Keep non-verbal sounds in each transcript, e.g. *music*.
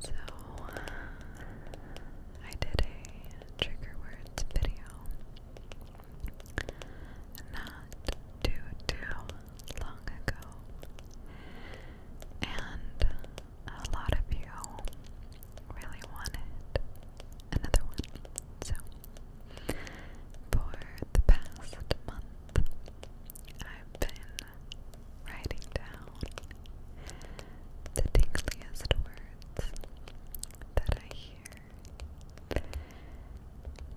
So, uh, I did a trigger words video not too, too long ago, and a lot of you really wanted another one. So, for the past month, I've been writing down the tingliest words that I hear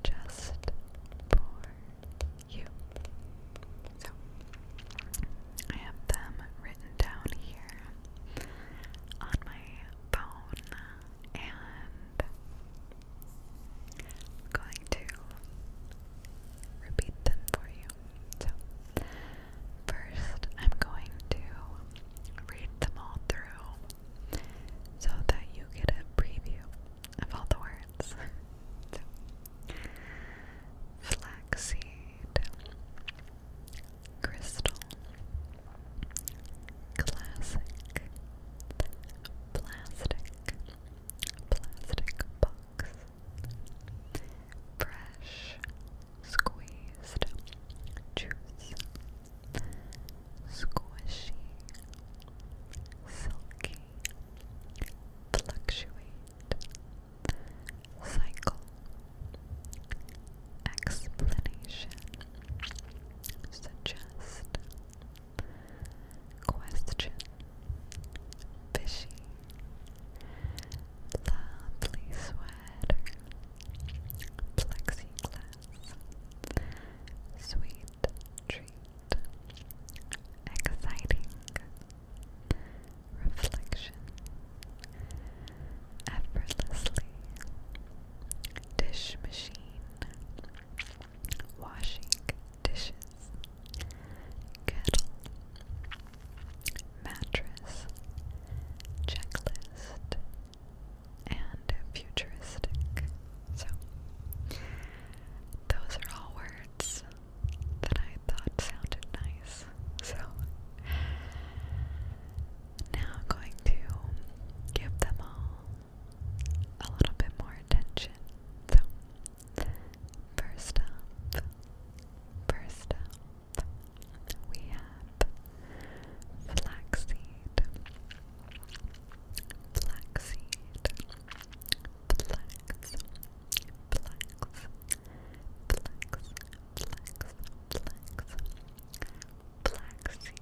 just for you. So I have them written down here on my phone and I'm going to repeat them for you. So, first, I'm going to read them all through so that you get a preview of all the words. *laughs* flaxseed, crystal, classic, plastic plastic box, fresh squeezed juice, squishy, silky, fluctuate, cycle, explanation, suggest. Question Fishy Lovely sweater Plexiglass Sweet treat Exciting Reflection Effortlessly Dish machine washing dishes, kettle, mattress, checklist, and futuristic. So, those are all words that I thought sounded nice. So, now I'm going to give them all a little bit more attention. So, first first we have flaxseed, flaxseed, flax, flax, flax, flax, Flaxseed,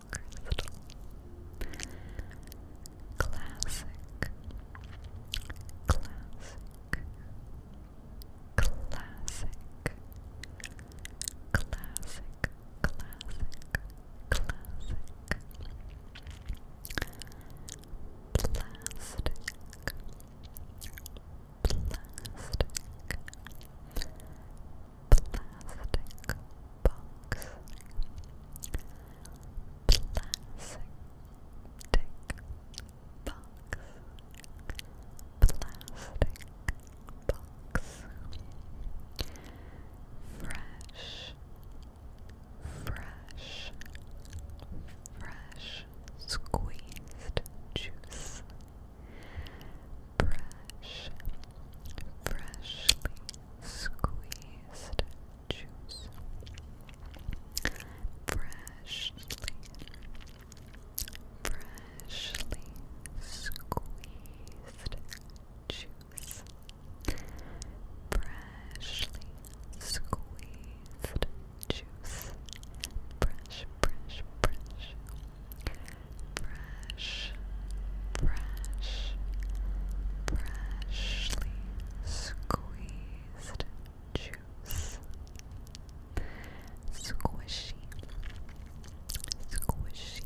crystal classic classic classic classic classic classic plastic plastic plastic box plastic box plastic box fresh fresh fresh squeezed juice Fresh, freshly squeezed juice. Freshly, freshly squeezed juice. Freshly squeezed juice. Fresh, fresh, fresh. Fresh, fresh, freshly squeezed juice. Squishy, squishy,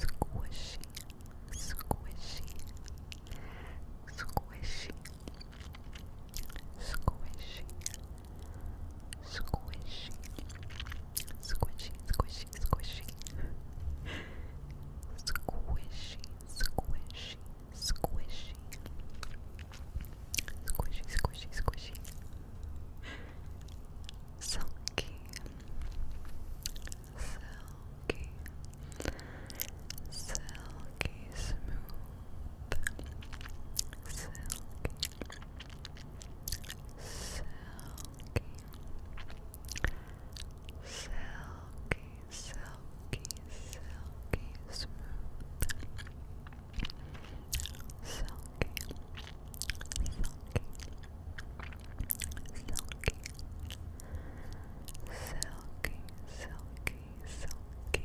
squishy, squishy, squishy, squishy, squishy. Squishy, squishy, squishy. Squishy, squishy, squishy. Squishy, squishy, squishy. Silky. Silky. Silky smooth. Silky silky, silky, silky, silky smooth, silky, silky, silky, silky, silky, silky.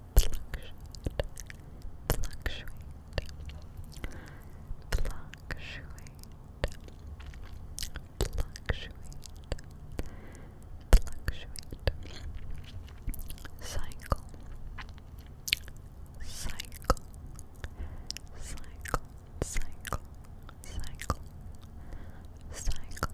fluctuate, fluctuate, fluctuate, fluctuate, fluctuate, cycle, cycle, cycle, cycle, cycle, cycle, cycle,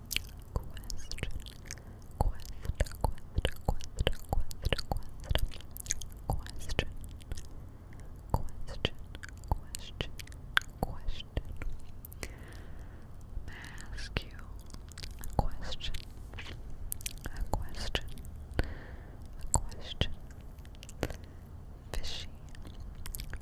Quest, quest, quest, quest, quest, quest, question, question, question, question. May I ask you a question? A question, a question. Fishy,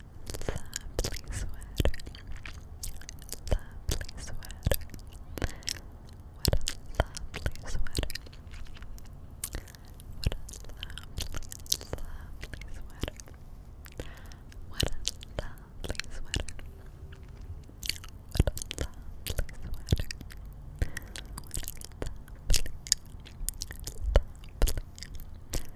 Lovely sweater. Lovely sweater. What a lovely sweater. What a lovely, lovely sweater. What a lovely sweater. What a lovely sweater. What a lovely, lovely, lovely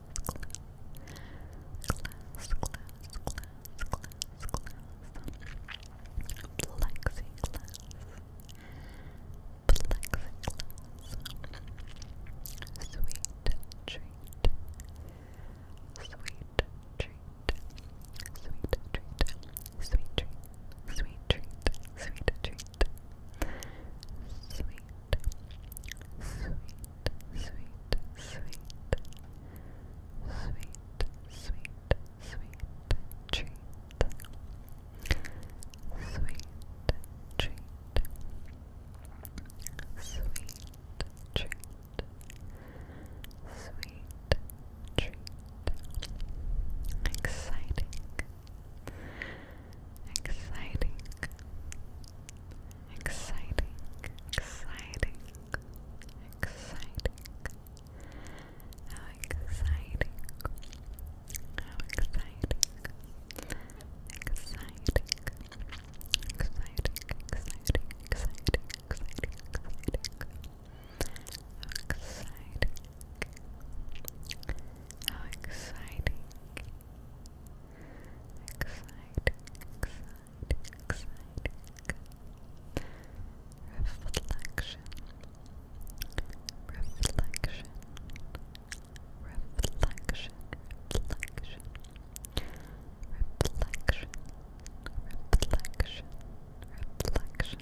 glass, glass, glass, glass, glass, plexiglass, plexiglass, sweet treat, sweet treat, sweet treat, sweet treat, sweet treat, sweet treat, sweet, sweet sweet, sweet, sweet, sweet, sweet treat. Sweet treat. Sweet treat. Sweet treat. Exciting. Exciting. Exciting, exciting, exciting. How exciting. How exciting. Exciting. Exciting, exciting, exciting, exciting, exciting. Exciting. How Exciting, exciting, Reflection. Reflection. Reflection. Reflection. Reflection. Reflection. Reflection.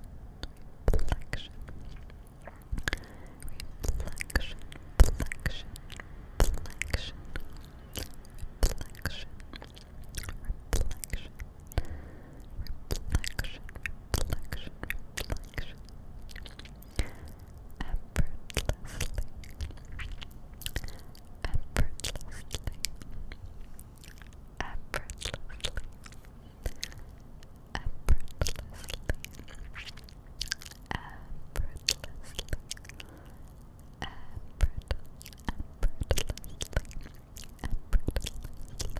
Reflection reflection, reflection, reflection, reflection, reflection, reflection. Reflection, reflection, reflection. Effortlessly, effortlessly, effortlessly, effortlessly, effortlessly, effort, effortlessly, effortlessly. Lovely, Effortlessly, effortlessly,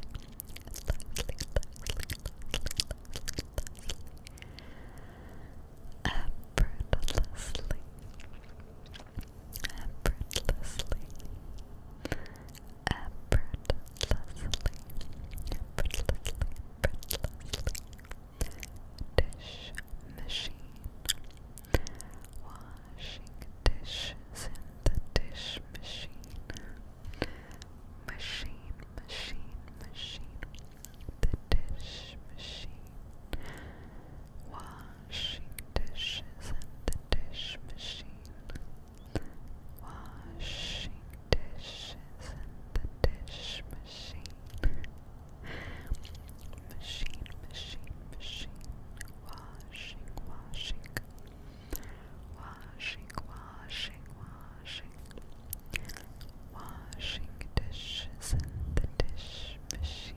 effortlessly, effortlessly, effortlessly. Dish machine. Washing dishes in the dish machine. Machine, machine, machine. The dish machine. Washing dishes in the dish machine washing dishes in the dish machine. machine, machine, machine. Washing, washing. Washing, washing, washing. Washing dishes in the dish machine.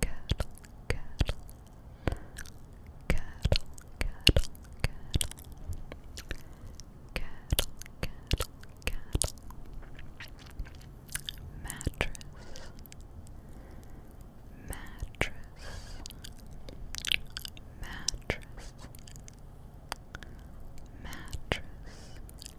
cattle, cattle, cattle, cattle, cattle, cattle, cattle, mattress, mattress, mattress, mattress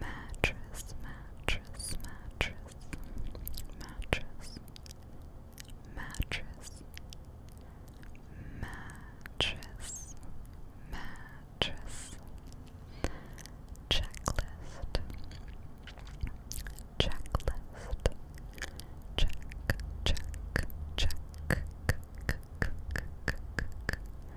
mattress, mattress, mattress, mattress, mattress, mattress, mattress, checklist, checklist, check, check, check, check, check, check, check,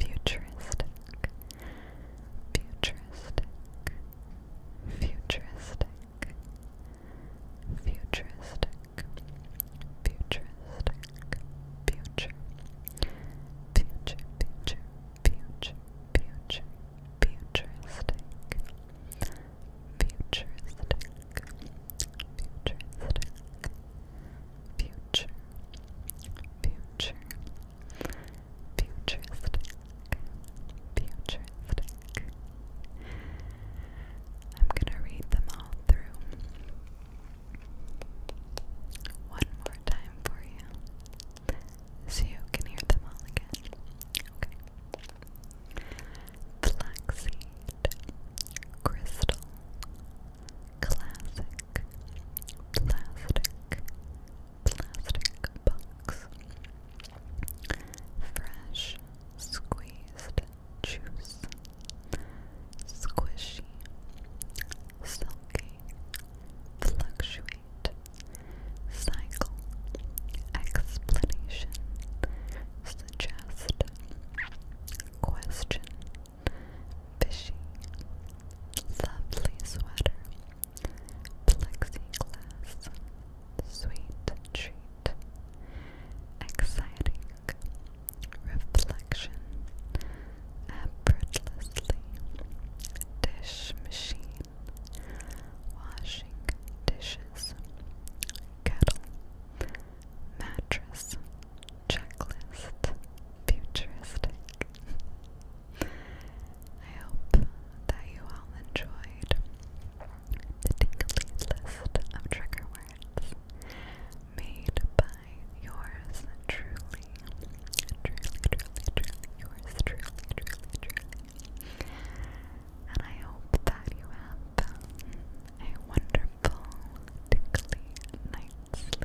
Futuristic, futuristic, futuristic, futuristic, futuristic, future, future, future, future, future, futuristic, futuristic, futuristic. Futuristic, future, futuristic, futuristic. I'm gonna read them all through one more time for you so you can hear them all again. Okay. crystal, classic plastic plastic box. Fresh squeezed juice. Squishy. Silky. Fluctuate. Cycle. Explanation. Suggest. Question. Fishy. Lovely sweater. Plexiglass. Sweet treat. Exciting. Reflection. Effortlessly. Dish machine. Washing dishes. Kettle mattress checklist futuristic. *laughs* I hope that you all enjoyed the tingly list of trigger words made by yours truly, truly, truly, truly, yours truly, truly, truly. And I hope that you have a wonderful, tingly night's sleep.